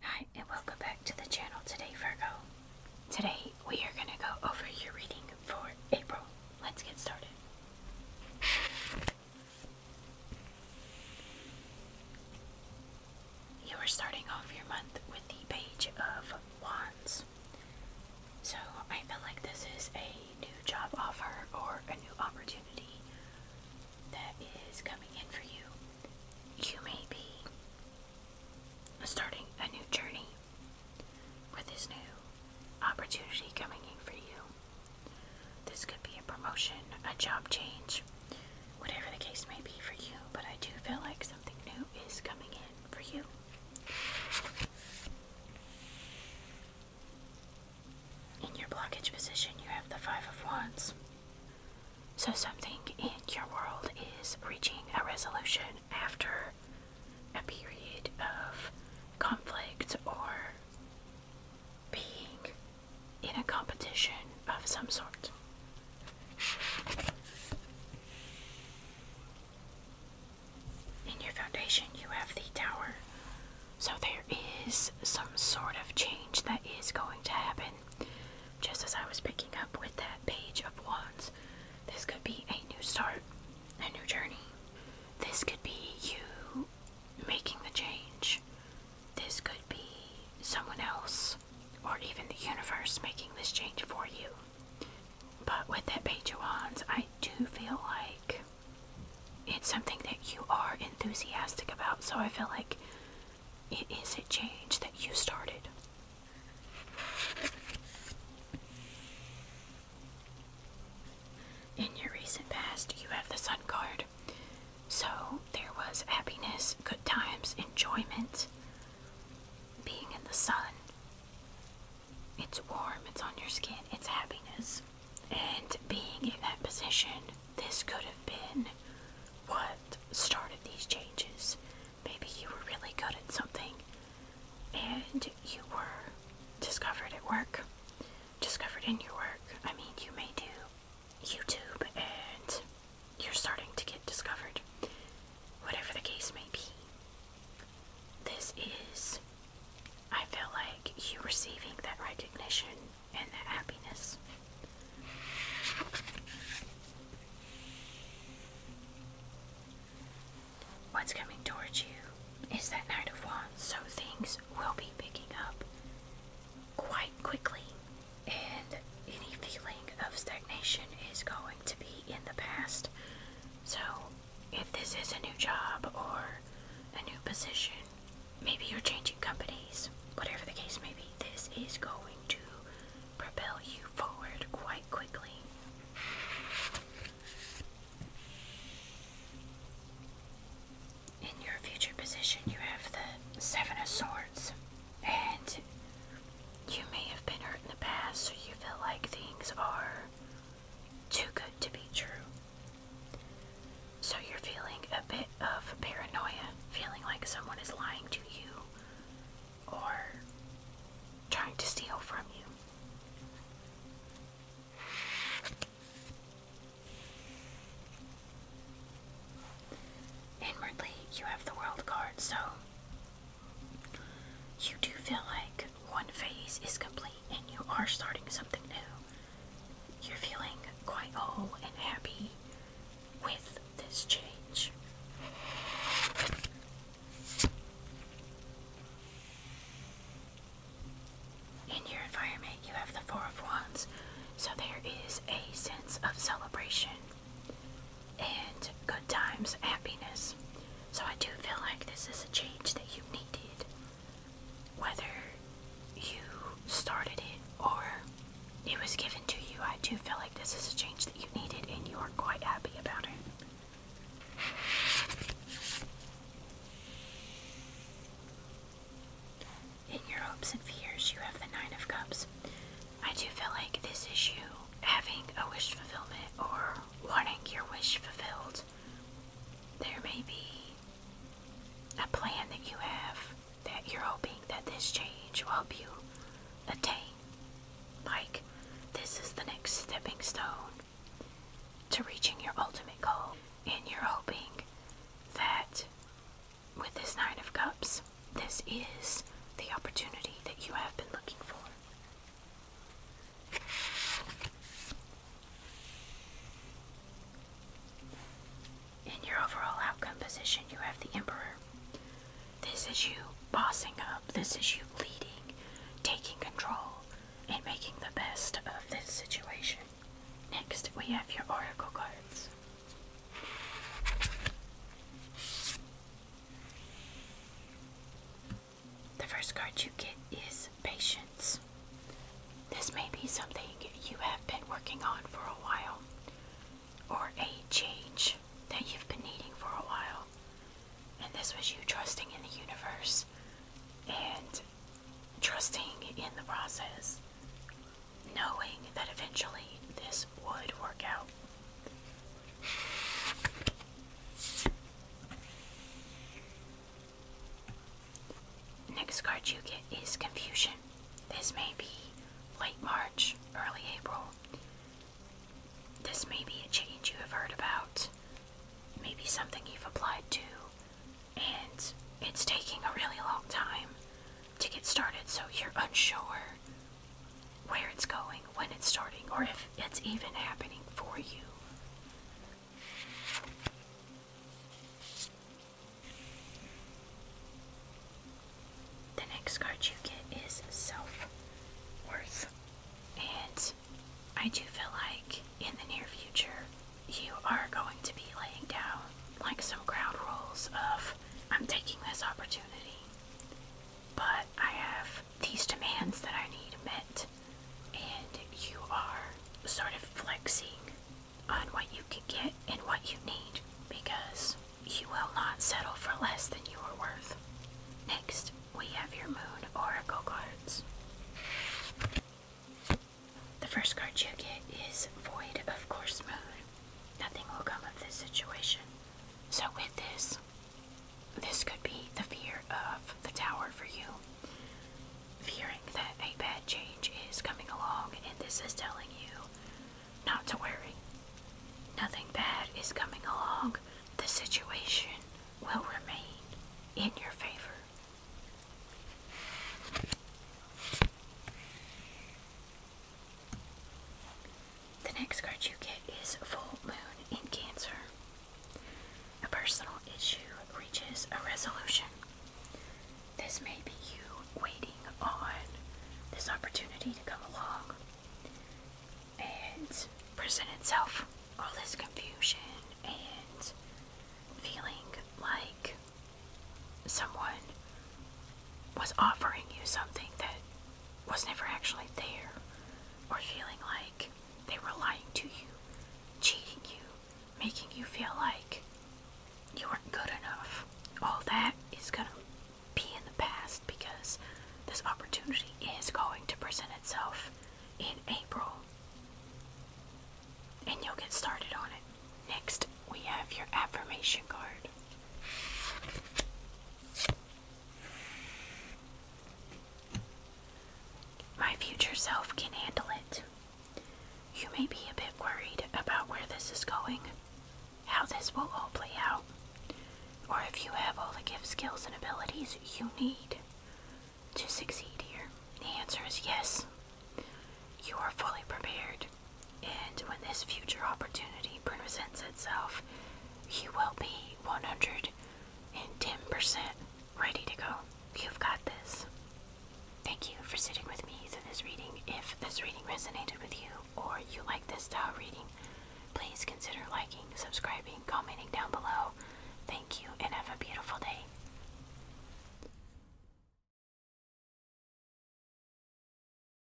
Hi, and welcome back to the channel today, Virgo. Today, we are going to go over your reading for April. Let's get started you are starting off your month with the Page of Wands. So I feel like this is a new job offer or a new opportunity that is coming in for you. You may be starting a new journey with this new opportunity coming in for you. This could be a promotion, a job change, whatever the case may be for you, but I do feel like something new is coming in for you. In your blockage position, you have the Five of Wands. So, something in your world is reaching a resolution after a period of conflict or being in a competition of some sort. In your foundation, you have the tower. So there is some sort of change that is going to happen. Just as I was picking up with that page of wands, this could be a new start, a new journey. This could be you making the change. This could be someone else or even the universe making this change for you. But with that page I do feel like it's something that you are enthusiastic about, so I feel like it is a change that you started. In your recent past, you have the Sun card. So there was happiness, good times, enjoyment, being in the sun. It's warm, it's on your skin, it's happiness. And being in that position, this could have been what started these changes. Maybe you were really good at something and you were discovered at work, discovered in your work. I mean, you may do YouTube and you're starting to get discovered. Whatever the case may be, this is, I feel like, you receiving that recognition and that happiness. What's coming towards you is that Knight of Wands, so things will be picking up quite quickly and any feeling of stagnation is going to be in the past. So, if this is a new job or a new position, maybe you're changing companies, whatever the case may be, this is going to propel you forward quite quickly. In your future position, you have the Seven of Swords, and you may have been hurt in the past, so you feel like things are too good to be true. So you're feeling a bit of paranoia, feeling like someone is lying to you or trying to steal from you. Inwardly, you have the World card, so you do feel like one phase is complete and you are starting something new. You're feeling quite whole and happy with this change. In your environment, you have the Four of Wands, so there is a sense of celebration and good times, happiness. So I do feel like this is a change that you needed, whether you started it or it was given to you. I do feel like this is a change that you needed, and you are quite happy about it. In your hopes and fears, you have the Nine of Cups. I do feel like this issue, having a wish fulfillment or wanting your wish fulfilled, there may be a plan that you have that you're hoping that this change will help you attain. Like, this is the next stepping stone to reaching your ultimate goal, and you're hoping that with this Nine of Cups, this is the opportunity that you have been looking for. In your overall outcome position, you have the Emperor. This is you bossing up, this is you leading, taking control, and making the best of this situation. Next, we have your Oracle cards. The first card you get is Patience. This may be something you have been working on for a while, or a change that you've been needing for a while. And this was you trusting in the universe and trusting in the process, knowing that eventually this would work out. Next card you get is Confusion. This may be late March, early April. This may be a change you have heard about, maybe something you've applied to, and it's taking a really long time to get started, so you're unsure where it's going, when it's starting, or if it's even happening for you. The next card you get is self worth, and I do feel like in the near future you are going to be laying down like some ground rules of I'm taking this opportunity but I have these demands that I need met, and you are sort of flexing on what you can get and what you need because you will not settle for less than you are worth. Next, we have your Moon Oracle cards. The first card you get is Void of Course Moon. Nothing will come of this situation. So with this, this could be the fear of the tower for you. Fearing that a bad change is coming along and this is telling you not to worry. Nothing bad is coming along. The situation will remain in your favor. The next card you get is Full Moon in Cancer. A personal issue reaches a resolution. This may be you waiting on this opportunity to come along and present itself. All this confusion and feeling like someone was offering you something that was never actually there, or feeling like they were lying to you, cheating you, making you feel like you weren't good enough. All that is going to be in the past because this opportunity is going to present itself in April. And you'll get started on it. Next, we have your affirmation card. My future self can handle it. You may be a bit worried about where this is going, how this will all play out, or if you have all the gift, skills, and abilities you need to succeed here. The answer is yes. You are fully prepared and when this future opportunity presents itself, you will be 110% ready to go. You've got this. Thank you for sitting with me through this reading. If this reading resonated with you or you like this style reading, please consider liking, subscribing, commenting down below. Thank you and have a beautiful day.